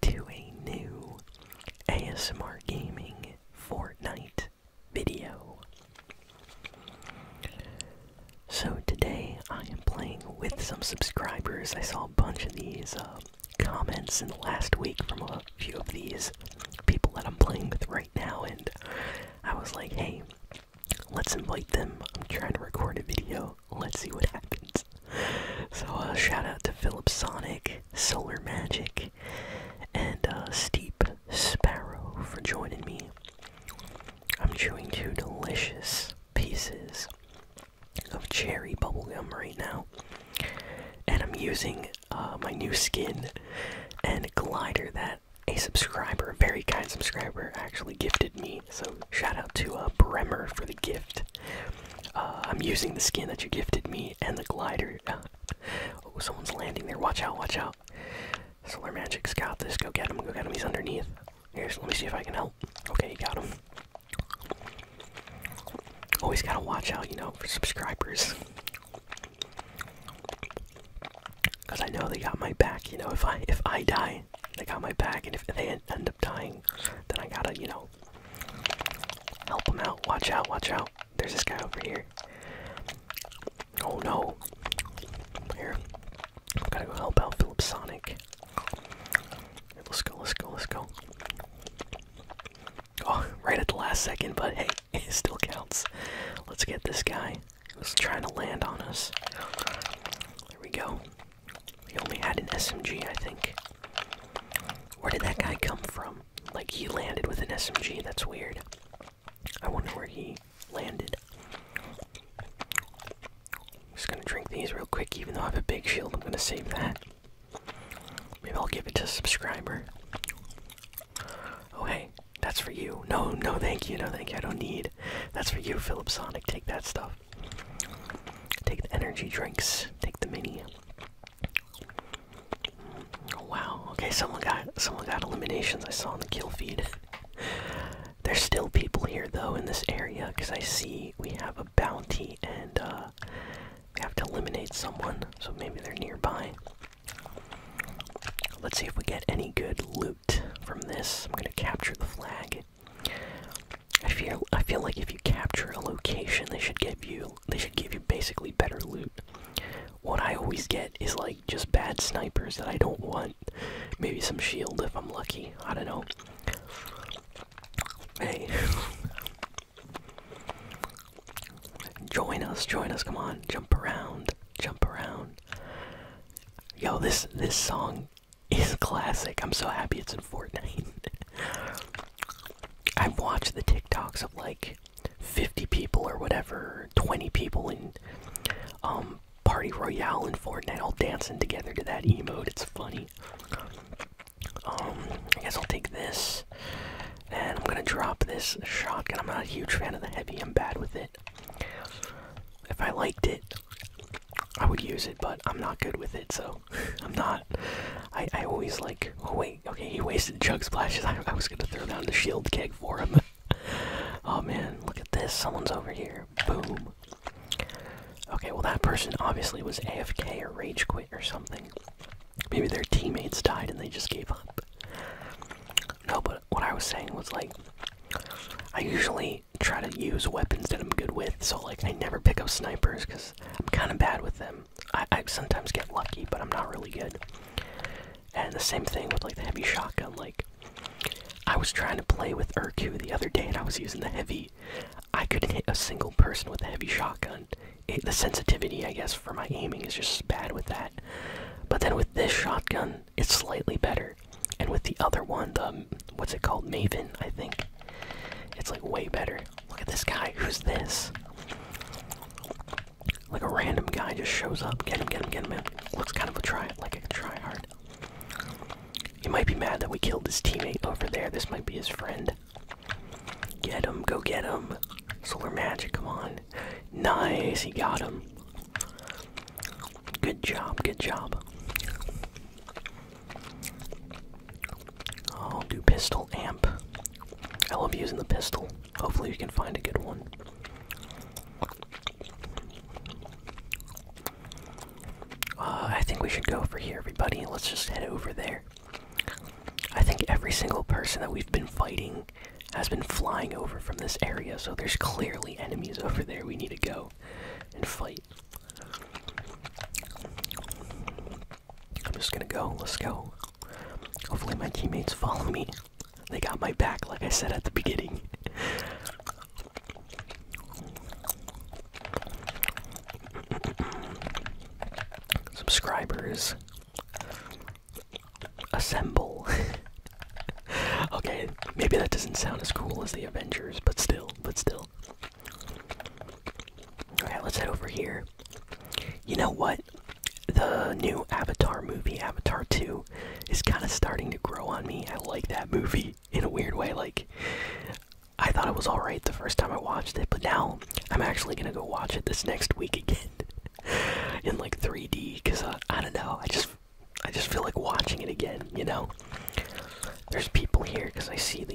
to a new ASMR Gaming Fortnite video. So today I am playing with some subscribers. I saw a bunch of these uh, comments in the last week from a few of these people that I'm playing with right now, and I was like, hey, let's invite them. I'm trying to record a video. Let's see what happens. So uh, shout out to Philip Sonic, Solar Magic, and uh, Steep Sparrow for joining me. I'm chewing two delicious pieces of cherry bubblegum right now. And I'm using uh, my new skin and glider that a subscriber, a very kind subscriber, actually gifted me. So shout out to Bremer for the gift. Uh, I'm using the skin that you gifted me and the glider. oh, someone's landing there. Watch out, watch out. Solar Magic's got this. Go get him, go get him. He's underneath. Here's, let me see if I can help. Okay, you got him. Always oh, gotta watch out, you know, for subscribers. Cause I know they got my back, you know, if I if I die, they got my back, and if they end up dying, then I gotta, you know, help him out. Watch out, watch out. There's this guy over here. Oh no. Here. I gotta go help out Philip Sonic. let's go, let's go, let's go. Oh, right at the last second, but hey, it still counts. Let's get this guy who's trying to land on us. There we go. He only had an SMG, I think. Where did that guy come from? Like, he landed with an SMG, that's weird. I wonder where he landed. Just gonna drink these real quick, even though I have a big shield, I'm gonna save that. Maybe I'll give it to a subscriber. Oh, hey, that's for you. No, no, thank you, no, thank you, I don't need. That's for you, Philip Sonic, take that stuff. Take the energy drinks, take the mini. Wow. Okay, someone got someone got eliminations. I saw on the kill feed. There's still people here though in this area because I see we have a bounty and uh, we have to eliminate someone. So maybe they're nearby. Let's see if we get any good loot from this. I'm gonna capture the flag. I feel I feel like if you capture a location, they should give you they should give you basically better loot. What I always get is like just bad snipers that I don't want. Maybe some shield if I'm lucky. I don't know. Hey. join us, join us, come on. Jump around, jump around. Yo, this this song is classic. I'm so happy it's in Fortnite. I've watched the TikToks of like 50 people or whatever, 20 people in um, Party Royale and Fortnite all dancing together to that emote. It's funny. Um, I guess I'll take this. And I'm gonna drop this shotgun. I'm not a huge fan of the heavy, I'm bad with it. If I liked it, I would use it, but I'm not good with it, so I'm not. I, I always like. Oh, wait, okay, he wasted Jug Splashes. I, was gonna throw down the shield keg for him. oh man, look at this. Someone's over here. Boom. Okay, well, that person obviously was AFK or Rage Quit or something. Maybe their teammates died and they just gave up. No, but what I was saying was like. I usually try to use weapons that I'm good with, so like I never pick up snipers because I'm kind of bad with them. I, sometimes get lucky, but I'm not really good. And the same thing with like the heavy shotgun. Like I was trying to play with Urku the other day, and I was using the heavy. I couldn't hit a single person with the heavy shotgun. the sensitivity, I guess, for my aiming is just bad with that. But then with this shotgun, it's slightly better. And with the other one, the what's it called? Maven, I think. It's like way better. Look at this guy. Who's this? Like a random guy just shows up. Get him, get him, get him in. Looks kind of a try, like a try hard. He might be mad that we killed this teammate over there. This might be his friend. Get him, go get him. Solar magic, come on. Nice, he got him. Good job, good job. I'll do pistol amp. I love using the pistol. Hopefully, we can find a good one. Uh, I think we should go over here, everybody. Let's just head over there. I think every single person that we've been fighting has been flying over from this area, so there's clearly enemies over there we need to go and fight. I'm just gonna go. Let's go. Hopefully, my teammates follow me. They got my back, like I said at the beginning. Subscribers, assemble. okay, maybe that doesn't sound as cool as the Avengers, but still, but still. Alright, let's head over here. You know what? The new Avatar movie, Avatar 2, is kind of starting to grow on me. I like that movie in a weird way. Like, I thought it was alright the first time I watched it, but now I'm actually gonna go watch it this next week again in like 3D because uh, I don't know. I just I just feel like watching it again, you know? There's people here because I see the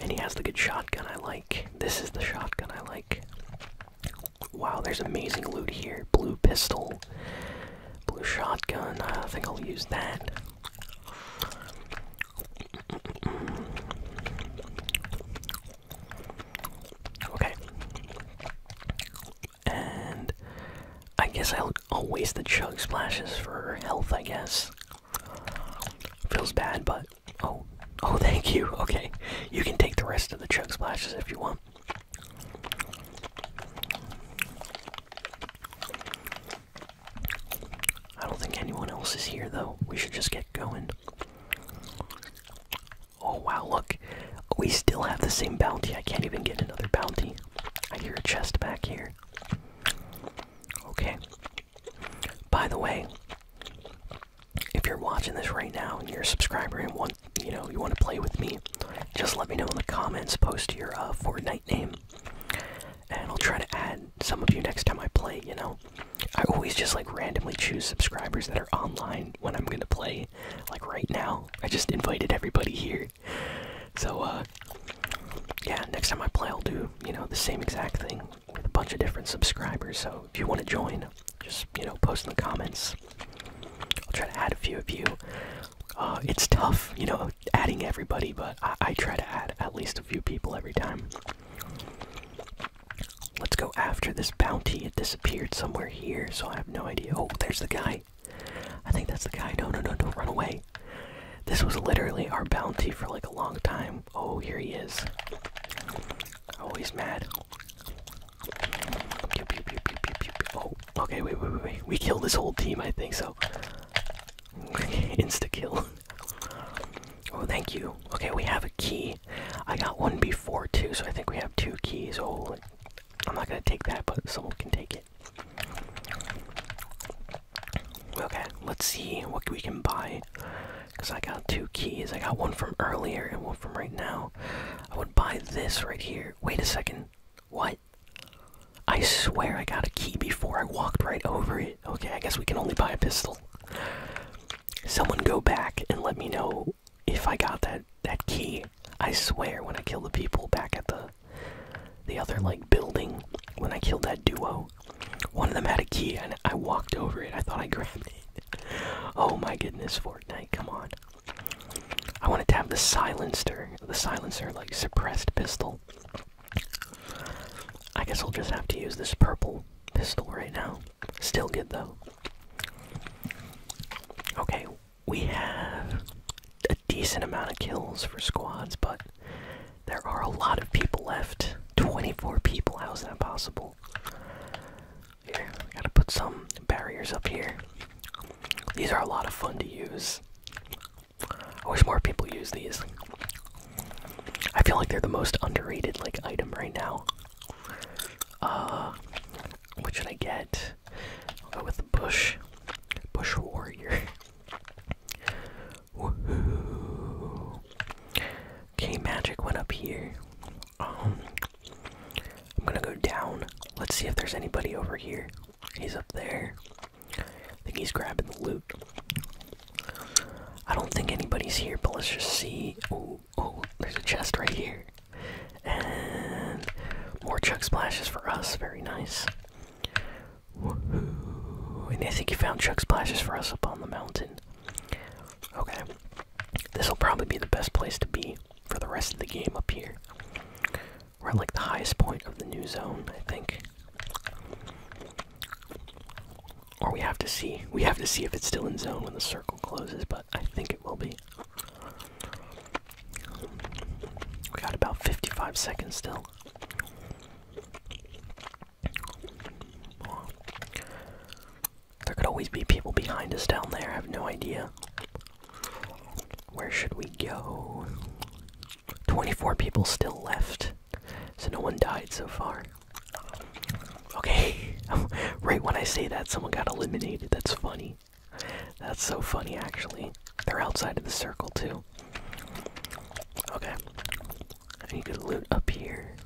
And he has the good shotgun I like. This is the shotgun I like. Wow, there's amazing loot here. Blue pistol, blue shotgun. I think I'll use that. Okay. And I guess I'll, waste the chug splashes for health, I guess. Feels bad, but. Oh, oh, thank you. Okay. You can take the rest of the chug splashes if you want. I don't think anyone else is here, though. We should just get going. Oh, wow, look. We still have the same bounty. I can't even get another bounty. I hear a chest back here. Okay. By the way, if you're watching this right now and you're a subscriber and want you know you want to play with me, just let me know in the comments. Post your uh, Fortnite name, and I'll try to add some of you next time I play. You know, I always just like randomly choose subscribers that are online when I'm gonna play. Like right now, I just invited everybody here, so, uh, yeah, next time I play, I'll do, you know, the same exact thing with a bunch of different subscribers. So, if you want to join, just, you know, post in the comments. I'll try to add a few of you. Uh, it's tough, you know, adding everybody, but I, I try to add at least a few people every time. Let's go after this bounty. It disappeared somewhere here, so I have no idea. Oh, there's the guy. I think that's the guy. No, no, no, don't run away. This was literally our bounty for like a long time. Oh, here he is. Oh, he's mad. Oh, okay, wait, wait, wait, wait. We killed this whole team, I think so. Insta kill. Oh, thank you. Okay, we have a key. I got one before too, so I think we have two keys. Oh, I'm not gonna take that, but someone can take it. Okay, let's see what we can buy. Because I got two keys. I got one from earlier and one from right now. I would buy this right here. Wait a second. What? I swear I got a key before I walked right over it. Okay, I guess we can only buy a pistol. Someone go back and let me know if I got that that key. I swear when I kill the people back at the the other like building when I killed that duo. One of them had a key and I walked over it. I thought I grabbed it. Oh my goodness, Fortnite, come on. I wanted to have the silencer, the silencer like suppressed pistol. I guess I'll just have to use this purple pistol right now. Still good though. Okay, we have a decent amount of kills for squads, but there are a lot of people left. 24 people, how is that possible? Here, I gotta put some barriers up here. These are a lot of fun to use. I wish more people used these. I feel like they're the most underrated like item right now. Uh what should I get? I'll go with the bush. Bush warrior. Okay, magic went up here. Um, I'm gonna go down. Let's see if there's anybody over here. He's up there. I think he's grabbing the loot. I don't think anybody's here, but let's just see. Oh, oh, there's a chest right here. And more chuck splashes for us. Very nice. And I think he found Chuck Splashes for us up on the mountain. Okay. This will probably be the best place to be for the rest of the game up here. We're at like the highest point of the new zone, I think. Or we have to see. We have to see if it's still in zone when the circle closes, but I think it will be. We got about 55 seconds still. There could always be people behind us down there, I have no idea. Where should we go? 24 people still left, so no one died so far. Okay, right when I say that, someone got eliminated, that's funny. That's so funny, actually. They're outside of the circle, too. Okay. I need to loot up here.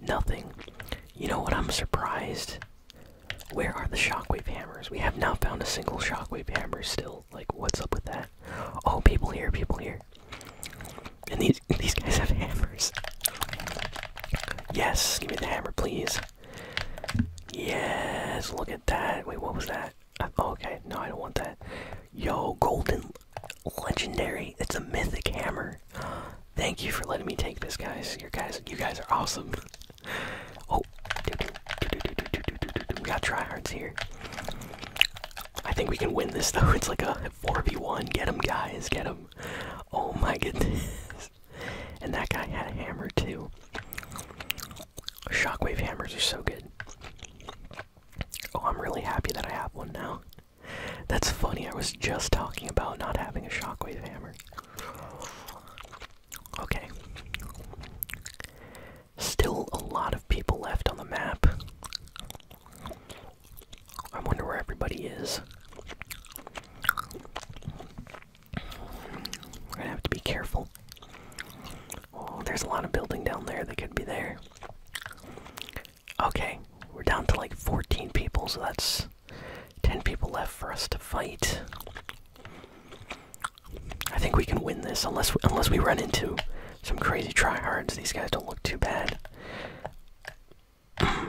Nothing. You know what? I'm surprised. Where are the shockwave hammers? We have not found a single shockwave hammer still. Like, what's up with that? Oh, people here, people here. And these these guys have hammers. Yes, give me the hammer, please. Yes, look at that. Wait, what was that? Okay, no, I don't want that. Yo, golden legendary. It's a mythic hammer. Thank you for letting me take this, guys. Your guys, you guys are awesome. Oh, we got tryhards here. I think we can win this though. It's like a 4v1. Get him, guys. Get him. Oh my goodness. And that guy had a hammer too. Shockwave hammers are so good. Oh, I'm really happy that I have one now. That's funny, I was just talking about not having a shockwave hammer. Okay. Still a lot of people left on the map. I wonder where everybody is. We're gonna have to be careful. Oh, there's a lot of building down there that could be there. Okay, we're down to like 14 people, so that's 10 people left for us to fight. I think we can win this unless we, unless we run into some crazy tryhards. These guys don't look too bad. okay,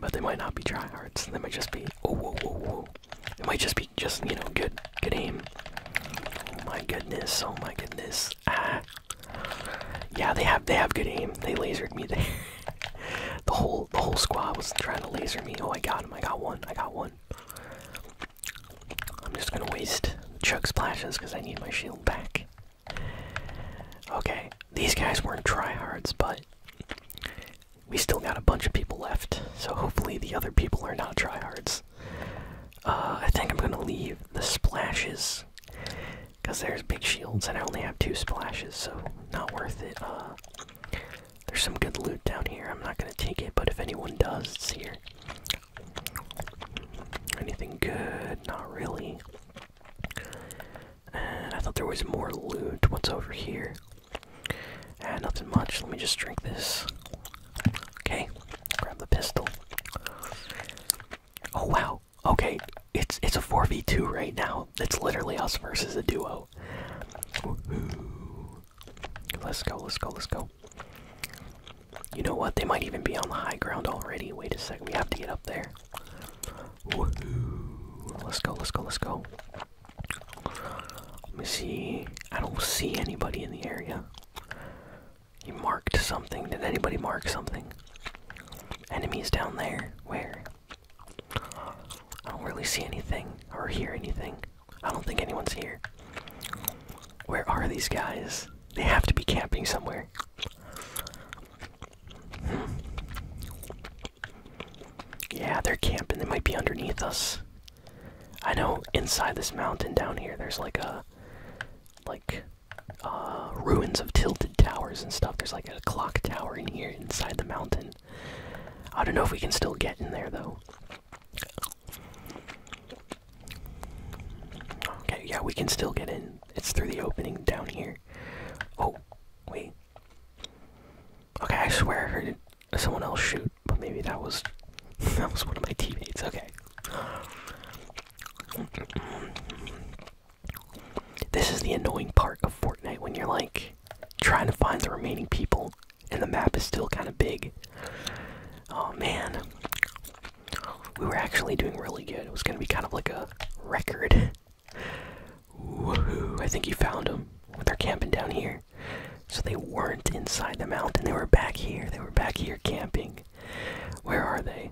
but they might not be tryhards. They might just be. Oh, it might just be just you know good good aim. Oh my goodness! Oh my goodness! Ah, yeah, they have they have good aim. They lasered me. the whole the whole squad was trying to laser me. Oh, I got him! I got one! I got one! I'm just gonna waste chug splashes because I need my shield back. Okay, these guys weren't tryhards, but we still got a bunch of people left, so hopefully the other people are not tryhards. Uh, I think I'm gonna leave the splashes, because there's big shields, and I only have two splashes, so not worth it. Uh, there's some good loot down here, I'm not gonna take it, but if anyone does, it's here. Anything good? Not really. And I thought there was more loot. What's over here? Ah, nothing much. Let me just drink this. Okay. Grab the pistol. Oh wow. Okay. It's it's a 4v2 right now. It's literally us versus a duo. Let's go, let's go, let's go. You know what? They might even be on the high ground already. Wait a second, we have to get up there. Let's go, let's go, let's go. Let me see. I don't see anybody in the area. You marked something. Did anybody mark something? Enemies down there. Where? I don't really see anything or hear anything. I don't think anyone's here. Where are these guys? They have to be camping somewhere. Hmm. Yeah, they're camping. They might be underneath us. I know inside this mountain down here, there's like a. Like. Uh, ruins of tilted towers and stuff. There's like a clock tower in here inside the mountain. I don't know if we can still get in there though. Okay, yeah, we can still get in. It's through the opening down here. Oh, wait. Okay, I swear I heard someone else shoot, but maybe that was that was one of my teammates. Okay. This is the annoying part of Fortnite when you're like trying to find the remaining people and the map is still kind of big. Oh man. We were actually doing really good. It was going to be kind of like a record Woohoo! I think you found them. They're camping down here. So they weren't inside the mountain. They were back here. They were back here camping. Where are they?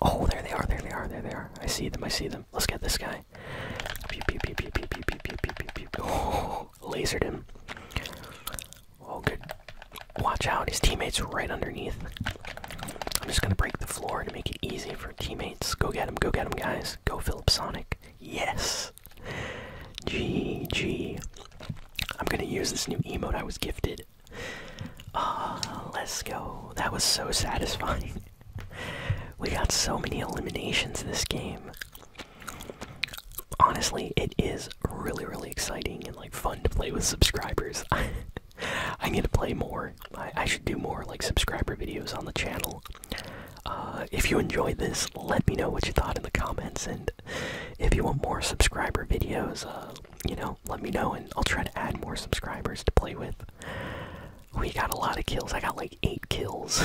Oh, there they are. There they are. There they are. I see them. I see them. Let's get this guy. Pew, pew, pew, pew, pew, pew, pew, pew, pew, pew. Oh, lasered him. Oh, good. Watch out. His teammate's right underneath. I'm just gonna break the floor to make it easy for teammates. Go get him. Go get him, guys. Go Philip Sonic. Yes. GG. I'm gonna use this new emote I was gifted. Ah, let's go. That was so satisfying. we got so many eliminations this game. Honestly, it is really, really exciting and like fun to play with subscribers. I need to play more. I should do more like subscriber videos on the channel. Uh, if you enjoyed this, let me know what you thought in the comments, and if you want more subscriber videos, uh, you know, let me know, and I'll try to add more subscribers to play with. We got a lot of kills. I got like eight kills.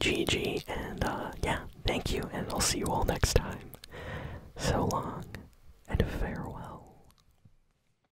GG, and uh, yeah, thank you, and I'll see you all next time. So long, and farewell.